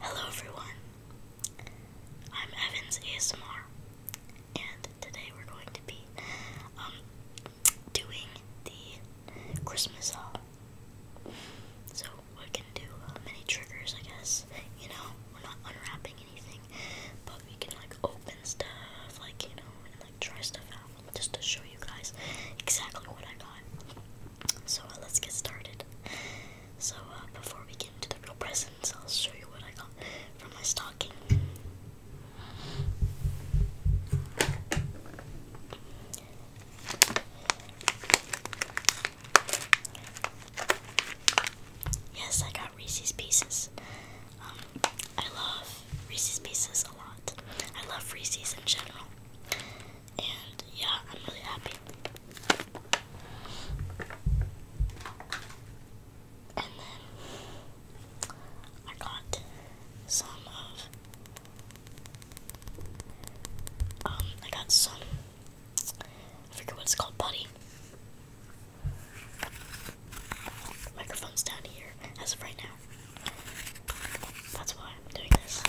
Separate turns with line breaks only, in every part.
Hello everyone, I'm Evans ASMR, and today we're going to be um, doing the Christmas haul. Uh, so we can do uh, many triggers, I guess. You know, we're not unwrapping anything, but we can like open stuff, like you know, and like try stuff out, just to show you guys exactly what I got. So uh, let's get started. So uh, before we get into the real presents, I'll show you what I got from my stocking. Yes, I got Reese's Pieces. Um, I love Reese's Pieces a lot. I love Reese's in general. And yeah, I'm really happy. And then I got some of um I got some I forget what it's called, buddy. Microphone's down here as of right now. That's why I'm doing this.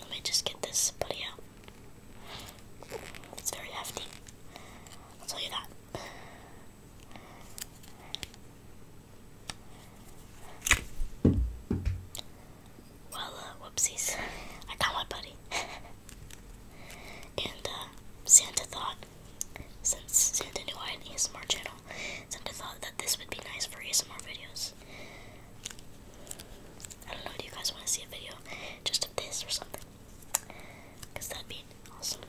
Let me just get this buddy out. It's very hefty. I'll tell that. Well, uh, whoopsies. I got my buddy. and, uh, Santa thought since Santa knew I need a ASMR channel, Santa thought that this would be nice for ASMR videos. I don't know, do you guys want to see a video just of this or something? Because that'd be awesome.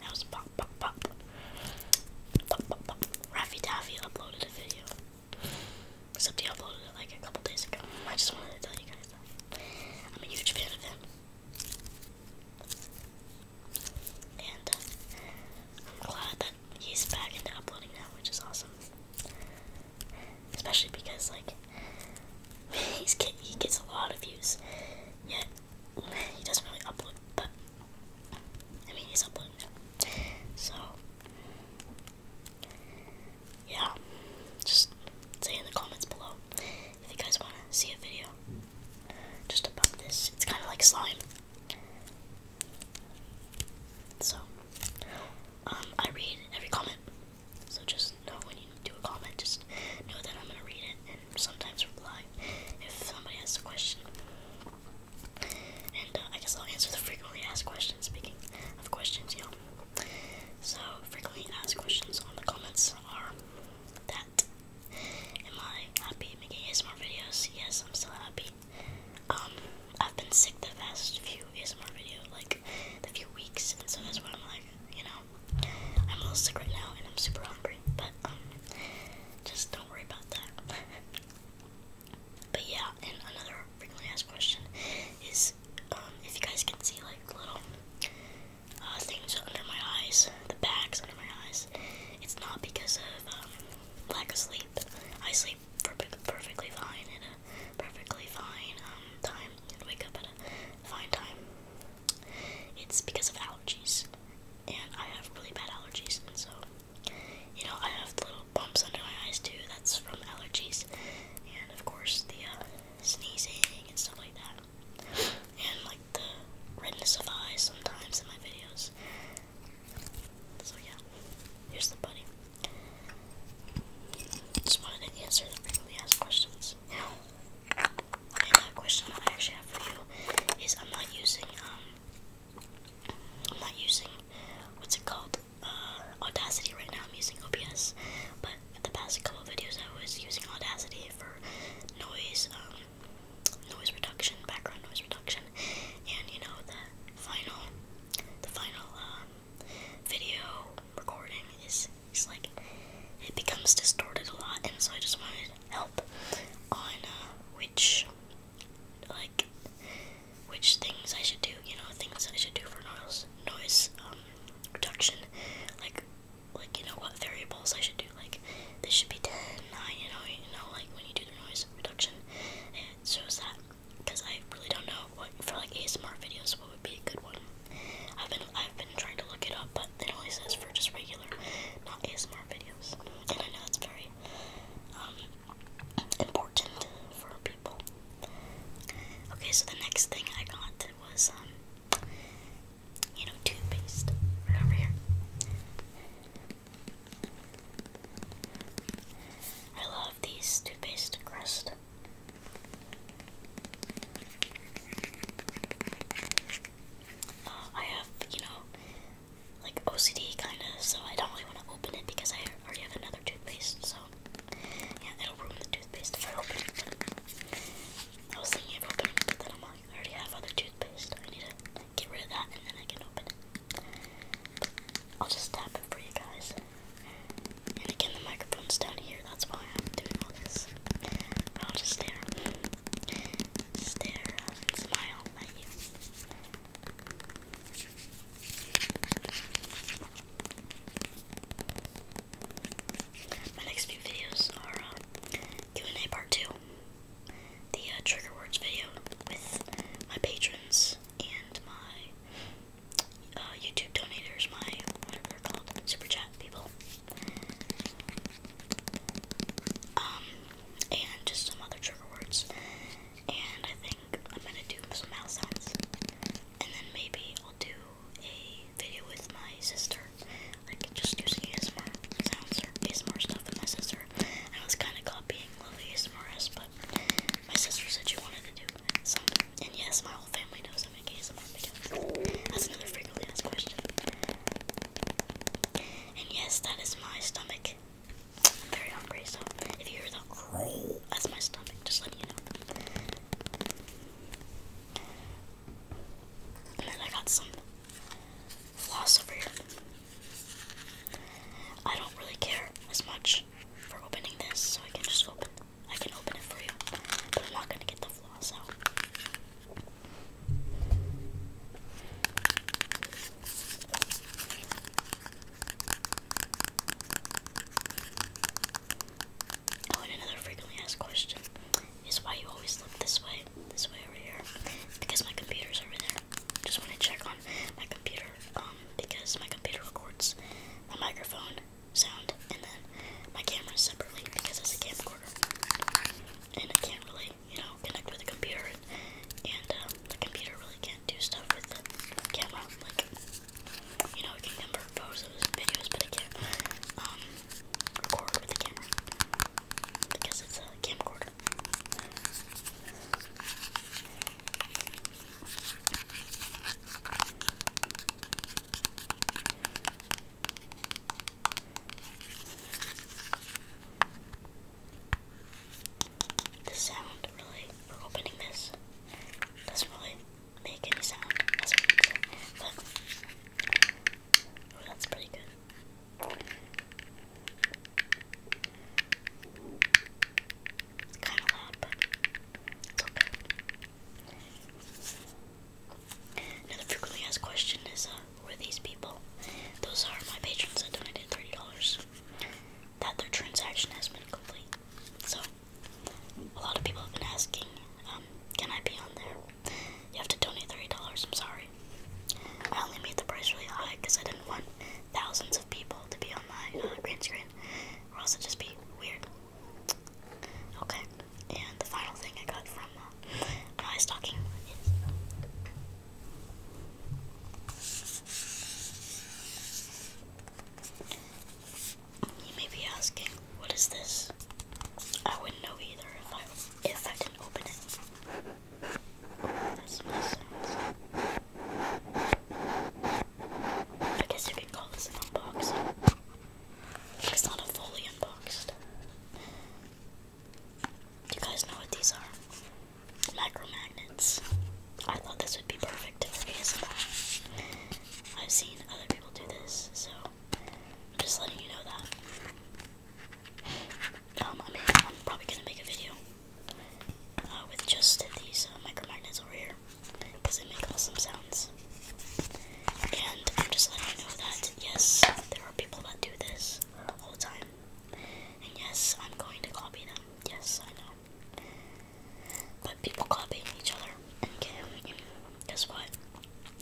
That was pop, pop, pop. Pop, pop, pop. Raffy Taffy uploaded a video he uploaded it like a couple days ago. I just wanted to tell you guys that. I'm a huge fan of him. And uh, I'm glad that he's back into uploading now, which is awesome. Especially because, like, he's he gets a lot of views, yet he doesn't really upload, but I mean, he's uploading now. So, yeah, just say in the comments below if you guys want to see a video just about this. It's kind of like slime. So, um, I read every comment. So just know when you do a comment, just know that I'm gonna read it and sometimes reply if somebody asks a question. And uh, I guess I'll answer the frequently asked questions. Speaking of questions, you so, frequently asked questions on the comments are that. Am I happy making ASMR videos? Yes, I'm still happy. Um, I've been sick the past few ASMR video, like the few weeks, and so that's why I'm like, you know, I'm a little sick right now and I'm super hungry, but um, just don't worry about that. but yeah, and another frequently asked question is um, if you guys can see, like little uh, things under my eyes, the bags under my eyes, it's not because of um, lack of sleep. I sleep perfect, perfectly fine at a perfectly fine um, time and wake up at a fine time. It's because of allergies, and I have really bad allergies, and so you know I have little bumps under my eyes too. That's from allergies, and of course the uh, sneezing and stuff like that. And like the redness of eyes sometimes in my videos. So yeah, here's the bunny. Just wanted to answer the frequently asked questions. Now, question I actually have for you is I'm not using um I'm not using what's it called? Um, Audacity right now. I'm using OBS, but the past couple of videos I was using Audacity for noise, um, noise reduction, background noise reduction, and you know the final, the final um, video recording is is like it becomes distorted a lot, and so I just wanted help on uh, which like which things I should do, you know, things I should do for noise noise um, reduction, like, like you know what variables I should do. Like this should be 10, 9, You know, you know, like when you do the noise reduction, it shows that because I really don't know what for like ASMR videos what would be a good one. I've been I've been trying to look it up, but it only says for just regular, not ASMR videos. And I know it's very um, important for people. Okay, so the next thing I got was, um, you know, toothpaste. Right over here. I love these toothpaste crust. Uh, I have, you know, like OCD kind of, so I don't really want to open it because I already have another toothpaste, so yeah, it'll ruin the toothpaste if I open it. I was thinking of opening but then I'm like, I already have other toothpaste. I need to get rid of that and then I can open it. I'll just tap it for you guys. And again, the microphone's down here, that's why I'm doing all this. I'll just stare. Stare smile at you. My next few videos are uh, Q&A part 2, the uh, trigger words video with my patrons and my uh, YouTube donators, my, whatever they're called, super chat people. Um, and just some other trigger words. And I think I'm gonna do some mouse sounds. And then maybe I'll do a video with my sister, like just using ASMR sounds or ASMR stuff with my sister. I was kind of copying Love ASMRs, but my sister said she wanted to do something. And yes, my whole family knows I make ASMR videos. That's another frequently asked question. And yes, that is my stomach. very hungry, so if you hear that, that's my stomach. Just letting you know. And then I got some floss over here. I don't really care as much for opening this, so I can just open I can open it for you. But I'm not gonna get the floss out. Oh, and another frequently asked question is why you always look this way, this way over here. Because my computer's over there. Just want to check on my computer, um, because my computer records my microphone sound and then my camera separately because it's a camcorder. And I can't really, you know, connect with the computer and, uh, the computer really can't do stuff with the camera. Like, you know, I can number photos and videos, but I can't record with the camera because it's a camcorder. The sound really for opening this does really make any sound oh, that's pretty good. It's kind of loud, but it's okay. Another frequently asked question is, uh, were these people? Those are my patrons that donated $30. That their transaction has been complete. So, a lot of people have been asking, um, can I be on there? You have to donate $3, I'm sorry. I only made the price really high because I didn't want thousands of people to be on my uh, green screen, or else it'd just be weird. Okay, and the final thing I got from uh, my stocking you may be asking, what is this? I wouldn't know either if I if I did open it. I guess you could call this unboxing. It's not a fully unboxed. Do you guys know what these are? Micromagnets. I thought this would be perfect for ASMR. I've seen other people do this, so I'm just letting you know that. Um, I am probably gonna make a video uh, with just these uh, micromagnets over here because they make awesome sounds. And I'm just letting you know that yes, there are people that do this all the time, and yes, I'm going to copy them. Yes, I know. But people copying each other and can, guess what?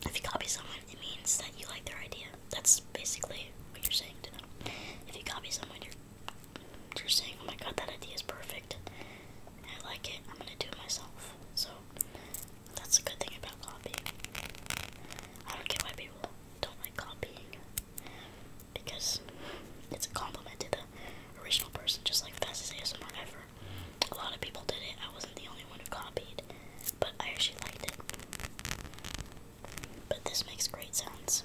If you copy someone, it means that you like their idea. That's basically what you're saying to them. If you copy someone, you're you're saying, "Oh my God, that idea is perfect. I like it. I'm gonna do it myself." So that's a good thing about copying. I don't get why people don't like copying because it's a compliment to the original person, just like the fastest ASMR ever. A lot of people did it. I wasn't the only one who copied, but I actually liked it. But this makes great sounds.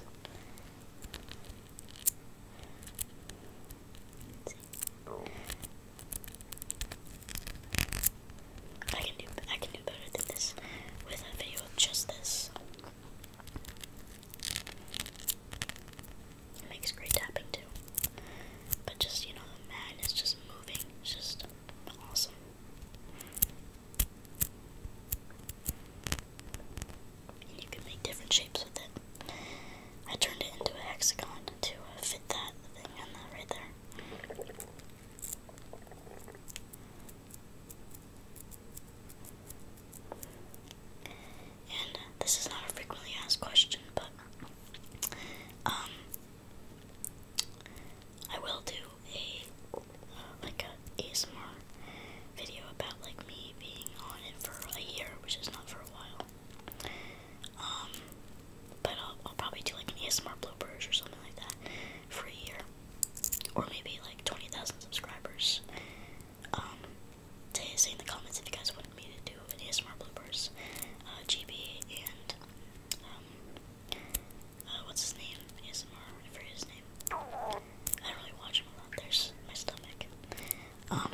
I can do I can do better than this with a video of just this. It makes great tapping too. But just, you know, the man is just moving. It's just awesome. you can make different shapes with it. I turned it into a hexagon to uh, fit that thing on that right there. And this is not a frequently asked question, but um, I will do a uh, like a ASMR video about like me being on it for a year, which is not for a while. Um, but I'll, I'll probably do like an ASMR bloopers or something like that for a year, or maybe like twenty thousand subscribers. Um, say in the comments if you guys wanted me to do ASMR bloopers, uh, GB, and, um, uh, what's his name? ASMR, I his name. I don't really watch him a lot, there's my stomach. Um,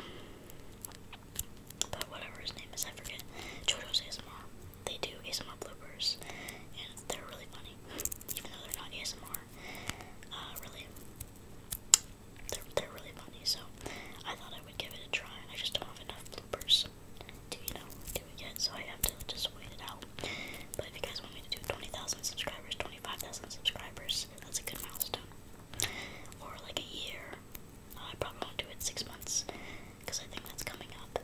but whatever his name is, I forget. Jojo's ASMR. They do ASMR bloopers, and they're really funny, even though they're not ASMR, uh, really. They're, they're really funny, so I thought I would give it a try. I just don't have enough bloopers to, you know, do it yet, so I have to just wait it out. But if you guys want me to do 20,000 subscribers, 25,000 subscribers, that's a good milestone. Or like a year. Uh, I probably won't do it six months, because I think that's coming up.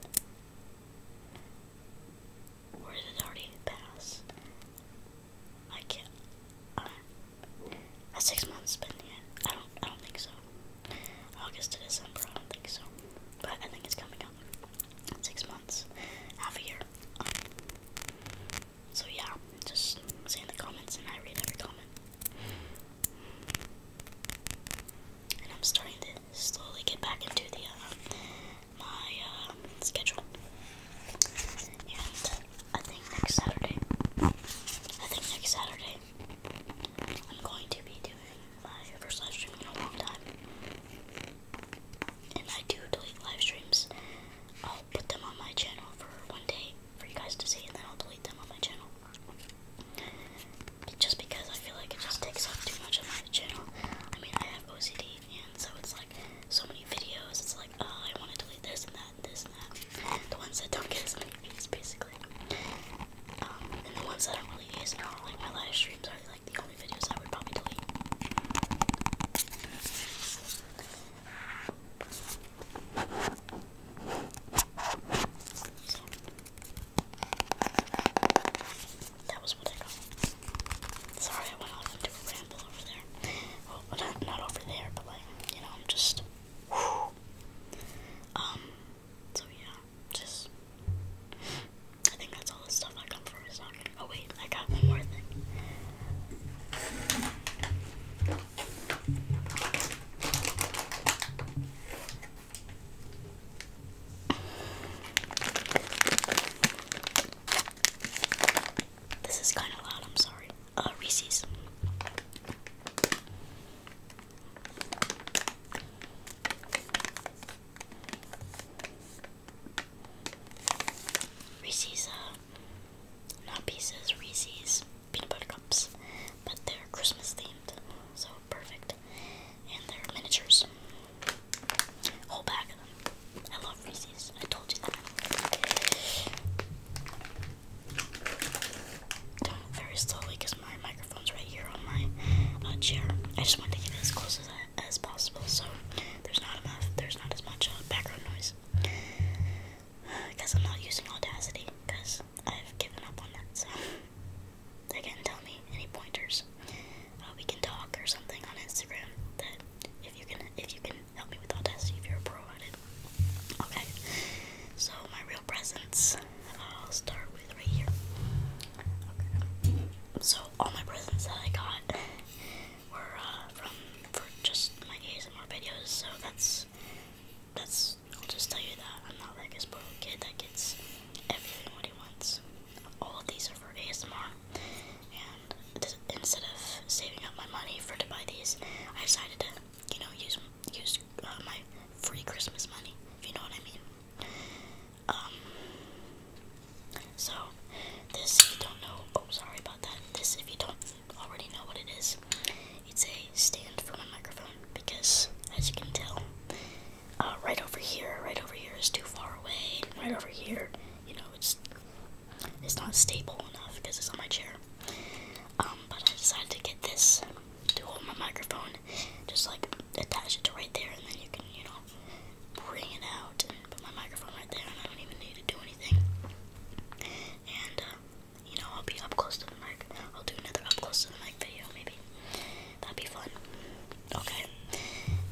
Or did it already pass? I can't. Has six months spent yet? I don't. I don't think so. August to December. I don't think so. But I think it's coming up. six months, half a year. Um, so yeah, just say in the comments, and I read every comment. And I'm starting to slowly get back into the uh, my uh, schedule and I think next Saturday, I think next Saturday, I'm going to be doing my first live stream in a long time. And I do delete live streams. I'll put them on my channel for one day for you guys to see, and then I'll delete them on my channel. Just because I feel like it just takes up too much of my channel. I mean, I have OCD, and so it's like so many videos. It's like, oh, I want to delete this and that the ones that don't get as many views, basically. Um, and the ones that I'm really using are like my live streams are like the only videos that would probably delete. So, that was what I got. Sorry I went off into a ramble over there. Well, not over there, but like, you know, I'm just um, so yeah, just I think that's all the stuff I come from is not oh wait, I got one more thing. This is kind of loud, I'm sorry. Uh, Reese's. Reese's, uh, not pieces, Reese's peanut butter cups, but they're Christmas themed, so perfect. And they're miniatures. Whole bag of them. I love Reese's. I told you that very slowly because my microphone's right here on my uh, chair. I just want to get as close as, possible so there's not enough, there's not as much uh, background noise. Because I'm not using Audacity because I've given up on that. So they can tell me any pointers. Uh, we can talk or something on Instagram that if you can if you can help me with Audacity if you're a pro at it. Okay, so my real presents, I'll start with right here. Okay. So all my presents that I got were uh, from for just my ASMR videos. So that's that's I'll just tell you that I'm not like a spoiled kid that gets everything what he wants. All of these are for ASMR, and instead of saving up my money for to buy these, I decided to you know, use use uh, my free Christmas money, if you know what I mean. Um, so this, if you don't know, oh, sorry about that. This, if you don't already know what it is, it's a stand for my microphone because, as you can tell, uh, right over here, right over here is too far away. Right over here, you know, it's it's not stable enough because it's on my chair. Um, but I decided to get this to hold my microphone, just like attach it to right there, and then you can, you know, bring it out and put my microphone right there, and I don't even need to do anything. And, uh, you know, I'll be up close to the mic. I'll do another up close to the mic video, maybe. That'd be fun. Okay.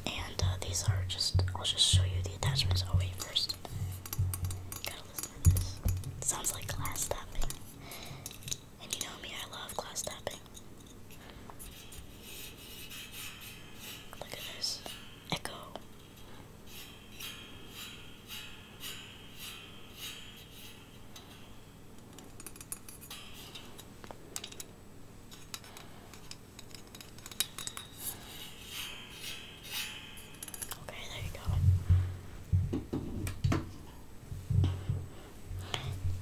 And uh, these are just, I'll just show you the attachments. Oh, wait, 1st sounds like glass tapping. And you know me, I love glass tapping. Look at this echo. Okay, there you go.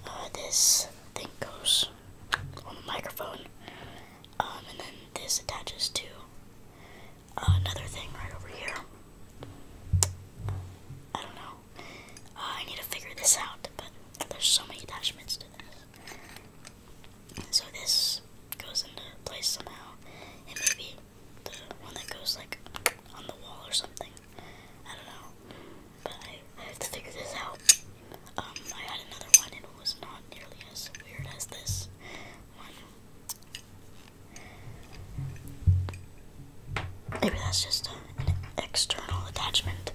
Uh, this thing goes on the microphone, um, and then this attaches to another thing right over here. I don't know. Uh, I need to figure this out, but there's so many attachments to this. So this goes into place somehow, and maybe one that goes like on the wall or something. I don't know, but I, have to figure this out. Um, I had another one it was not nearly as weird as this one. Maybe that's just an external attachment.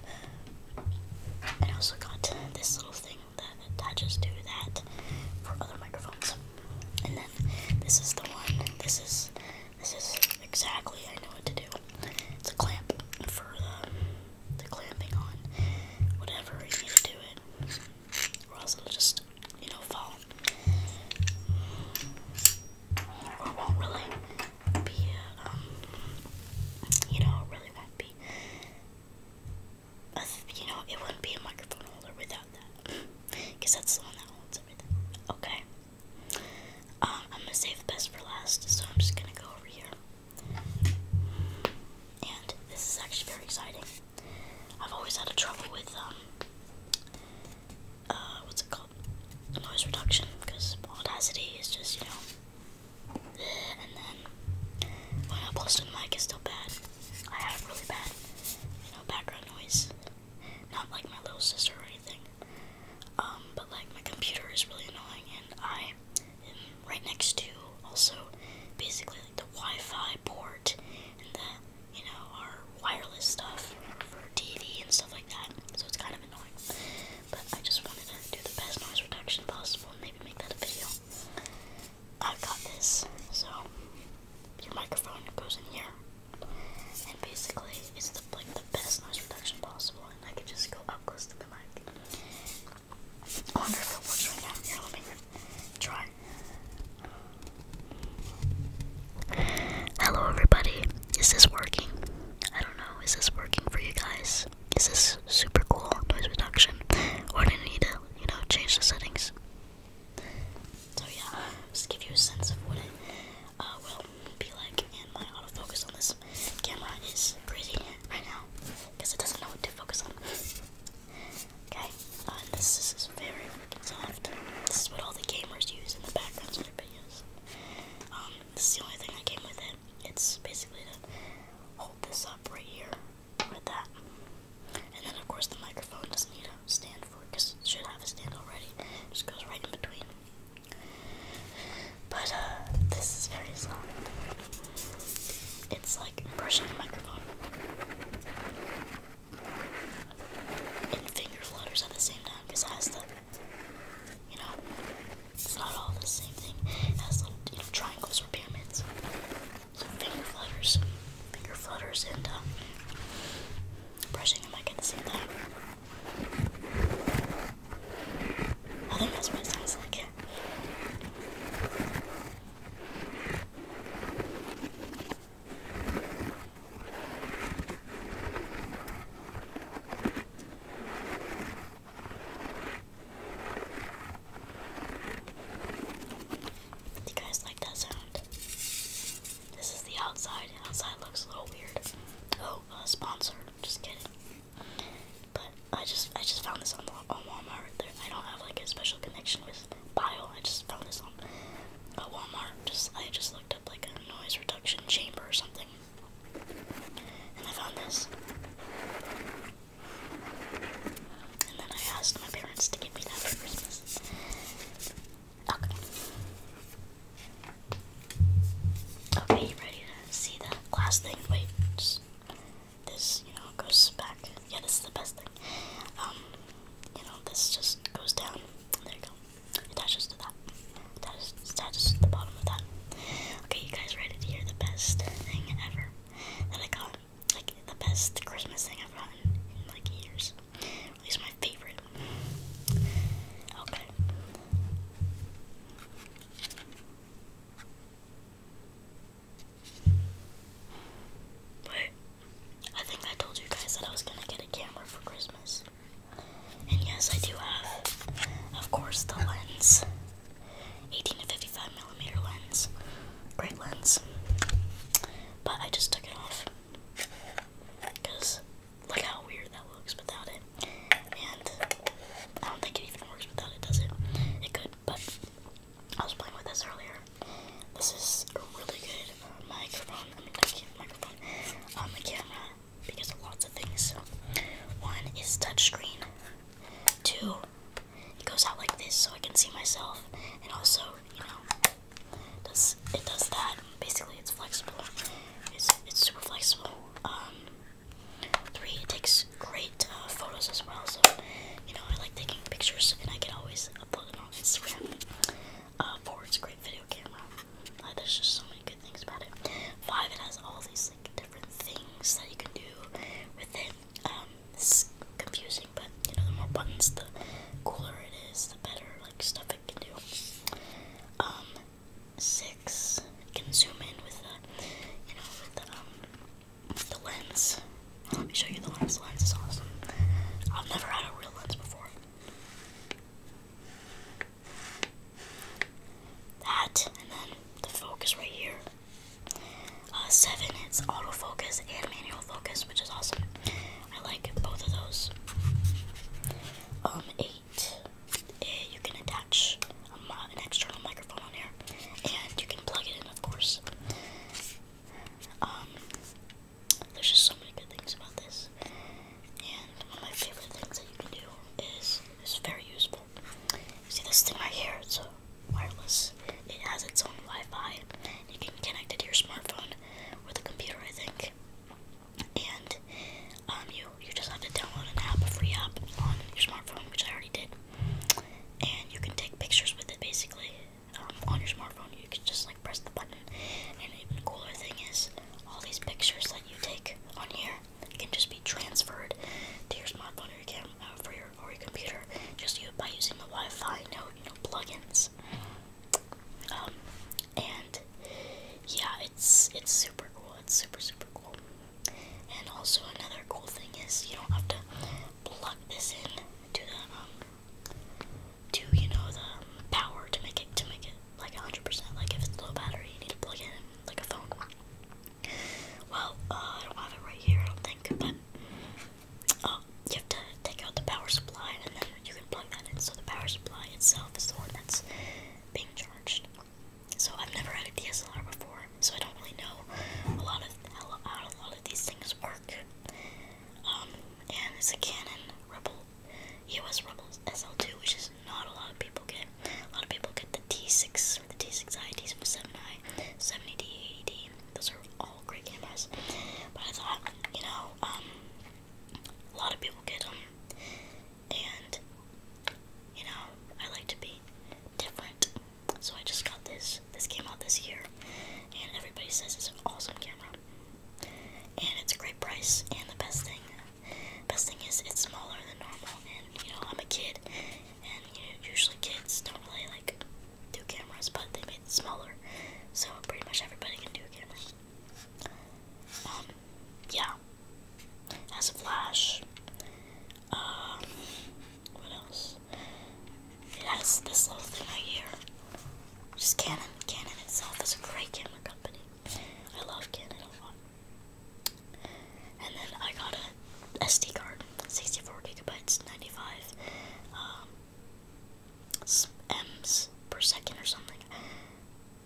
I also got this little thing that attaches to that for other microphones. This is the one. This is this is exactly I know what to do. It's a clamp for the, the clamping on whatever you need to do it, or else it'll just you know fall. Or it won't really be, uh, um, you know, it really won't be you know, it wouldn't be a microphone holder without that. Because that's the one that holds everything. Okay. Um, I'm going to save the best for last, so I'm just going to go over here. And this is actually very exciting. I've always had a trouble with, um, uh, what's it called? Noise reduction, because Audacity is just, you know, and then when I post on the mic, is still bad. I have really bad, you know, background noise. Not like my little sister or anything. Um, but like my computer is really annoying, and I am right next to also basically like the Wi-Fi port and the you know our wireless stuff for TV and stuff like that. So it's kind of annoying. But I just wanted to do the best noise reduction possible and maybe make that a video. I have got this. So your microphone goes in here, and basically it's the, like the best noise reduction possible. And I can just go up close to the mic. I wonder if it works right now. Here, let me try. Hello, everybody. Is this working? I don't know. Is this working for you guys? Is this super cool noise reduction, or do I need to, you know, change the settings? So yeah, just give you a sense of what it uh, will be like. And my autofocus on this camera is crazy right now because it doesn't know what to focus on. okay, uh, this, is very freaking soft. This is what all the gamers use in the backgrounds of um, their videos. this is the only thing I came with it. It's basically to hold this up right here with that. And then, of course, the microphone doesn't need a stand for it it should have a stand already. It just goes right in between. But uh, this is very solid. It's like brushing the microphone. And finger flutters at the same time because it has the, you know, it's not all the same thing. It has little you know, triangles or pyramids some finger flutters, finger flutters, and um, brushing. them I gonna see that? I think that's what it sounds like you guys like that sound? This is the outside. Outside looks a little weird. Oh, a uh, sponsor. Just kidding. But I just I just found this on, on Walmart. There, I don't have like a special connection with bio. I just found this on uh, Walmart. Just I just looked up like a noise reduction chamber or something, and I found this. And then I asked my parents to give me that for Christmas. Okay. Okay, ready to see the last thing? Wait, this, you know, goes back. Yeah, this is the best thing. Um, you know, this just goes down. There you go. Attaches to that. Attaches, attaches to the bottom of that. Okay, you guys ready to hear the best thing ever that I got? like the best Christmas thing I've gotten in like years. At least my favorite. Okay. Wait, I think I told you guys that I was gonna get a camera for Christmas. And yes, I do have, of course, the lens. 18 to 55 millimeter lens. Great lens but I just took it off because look how weird that looks without it. And I don't think it even works without it, does it? It could, but I was playing with this earlier. This is a really good uh, microphone. I mean, I can't microphone. Um, a camera because lots of things. one is touchscreen. Two, it goes out like this so I can see myself, and also, you know, does it does that? Basically, it's flexible. It's it's super flexible. Um, three, it takes great uh, photos as well. So, you know, I like taking pictures, and I can always upload it on Instagram. Uh, four, it's a great video camera. Uh, there's just so many good things about it. Five, it has all these like different things that you can do with it. Um, it's confusing, but you know, the more buttons, the cooler it is, the better like stuff it can do. Um, six can zoom in with the, you know, with the um, the lens. Let me show you the lens. lens is awesome. I've never had a real lens before. That and then the focus right here. Uh, seven, it's autofocus and manual focus, which is awesome. I like both of those. Um, eight, uh, you can attach a, an external microphone on here, and you can plug it in, of course. Um, there's just so many good things about this, and one of my favorite things that you can do is it's very useful. See this thing right here? wireless. It has its own Wi-Fi. You can connect it to your smartphone or the computer, I think. And um, you you just have to download an app, a free app on your smartphone, which I already did. And you can take pictures with it, basically, um, on your smartphone. You can just like press the button. And even cooler thing is, all these pictures that you take on here can just be transferred to your smartphone or you can uh, for your or your computer just you by using the Wi-Fi, no, you know, plugins. Um, and yeah, it's it's super cool. It's super super cool. And also another cool thing is you don't have to plug this in to the um to you know the power to make it to make it like 100%. Like if it's low battery, you need to plug in like a phone. Well, uh, I don't have it right here, I don't think, but you have to take out the power supply and then you can plug that in. So the power supply itself is the one that's being charged. So I've never had a DSLR before, so I don't really know a lot of how, a lot of these things work. Um, and it's a Canon Rebel, EOS Rebel SL2, which is not a lot of people get. A lot of people get the T6 or the T6i, T7i, 70D, 80D, mean, those are all great Game Pass. But I thought, you know, um, a lot of people get them, and you know, I like to be different. So I just got this. This came out this year, and everybody says it's an awesome camera, and it's a great price. And the best thing, best thing is it's smaller than normal. And you know, I'm a kid, and you know, usually kids don't really like two cameras, but they made it smaller, so pretty much everybody can do a camera. Um, yeah. Has a flash. Um, what else? It has this little thing right here. Just Canon. Canon itself is a great camera company. I love Canon a lot. And then I got a SD card, 64 gigabytes, 95. Um, m's per second or something.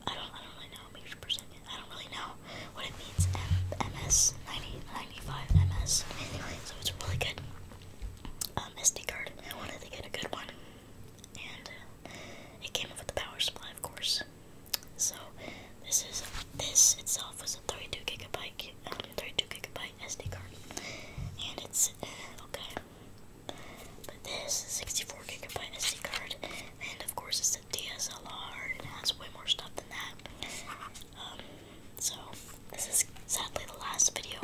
I don't, I don't really know meters per second. I don't really know what it means. ms, 90, MS. Anyway, So it's really good. Um, SD card. I wanted to get a good one, and uh, it came with the power supply, of course. So this is this itself was a 32 gigabyte, um, 32 gigabyte SD card. And it's uh, okay. But this is 64 gigabyte SD card, and of course it's a DSLR, and it has way more stuff than that. Um, so this is sadly the last video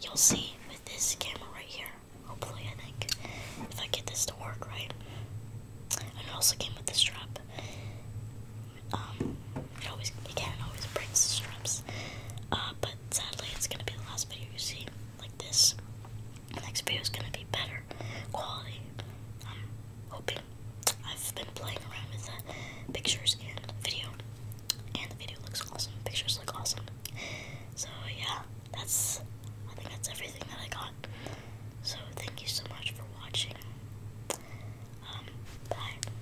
you'll see with this camera right here. Hopefully, I think if I get this to work right, and it also came with the strap. Um, it always it can always break the straps. Uh, but sadly, it's gonna be the last video you see like this. next video is gonna be better quality. I'm hoping. I've been playing around with the pictures and video, and the video looks awesome. Pictures look awesome. So yeah, that's. I think that's everything that I got. So thank you so much for watching. Um, bye.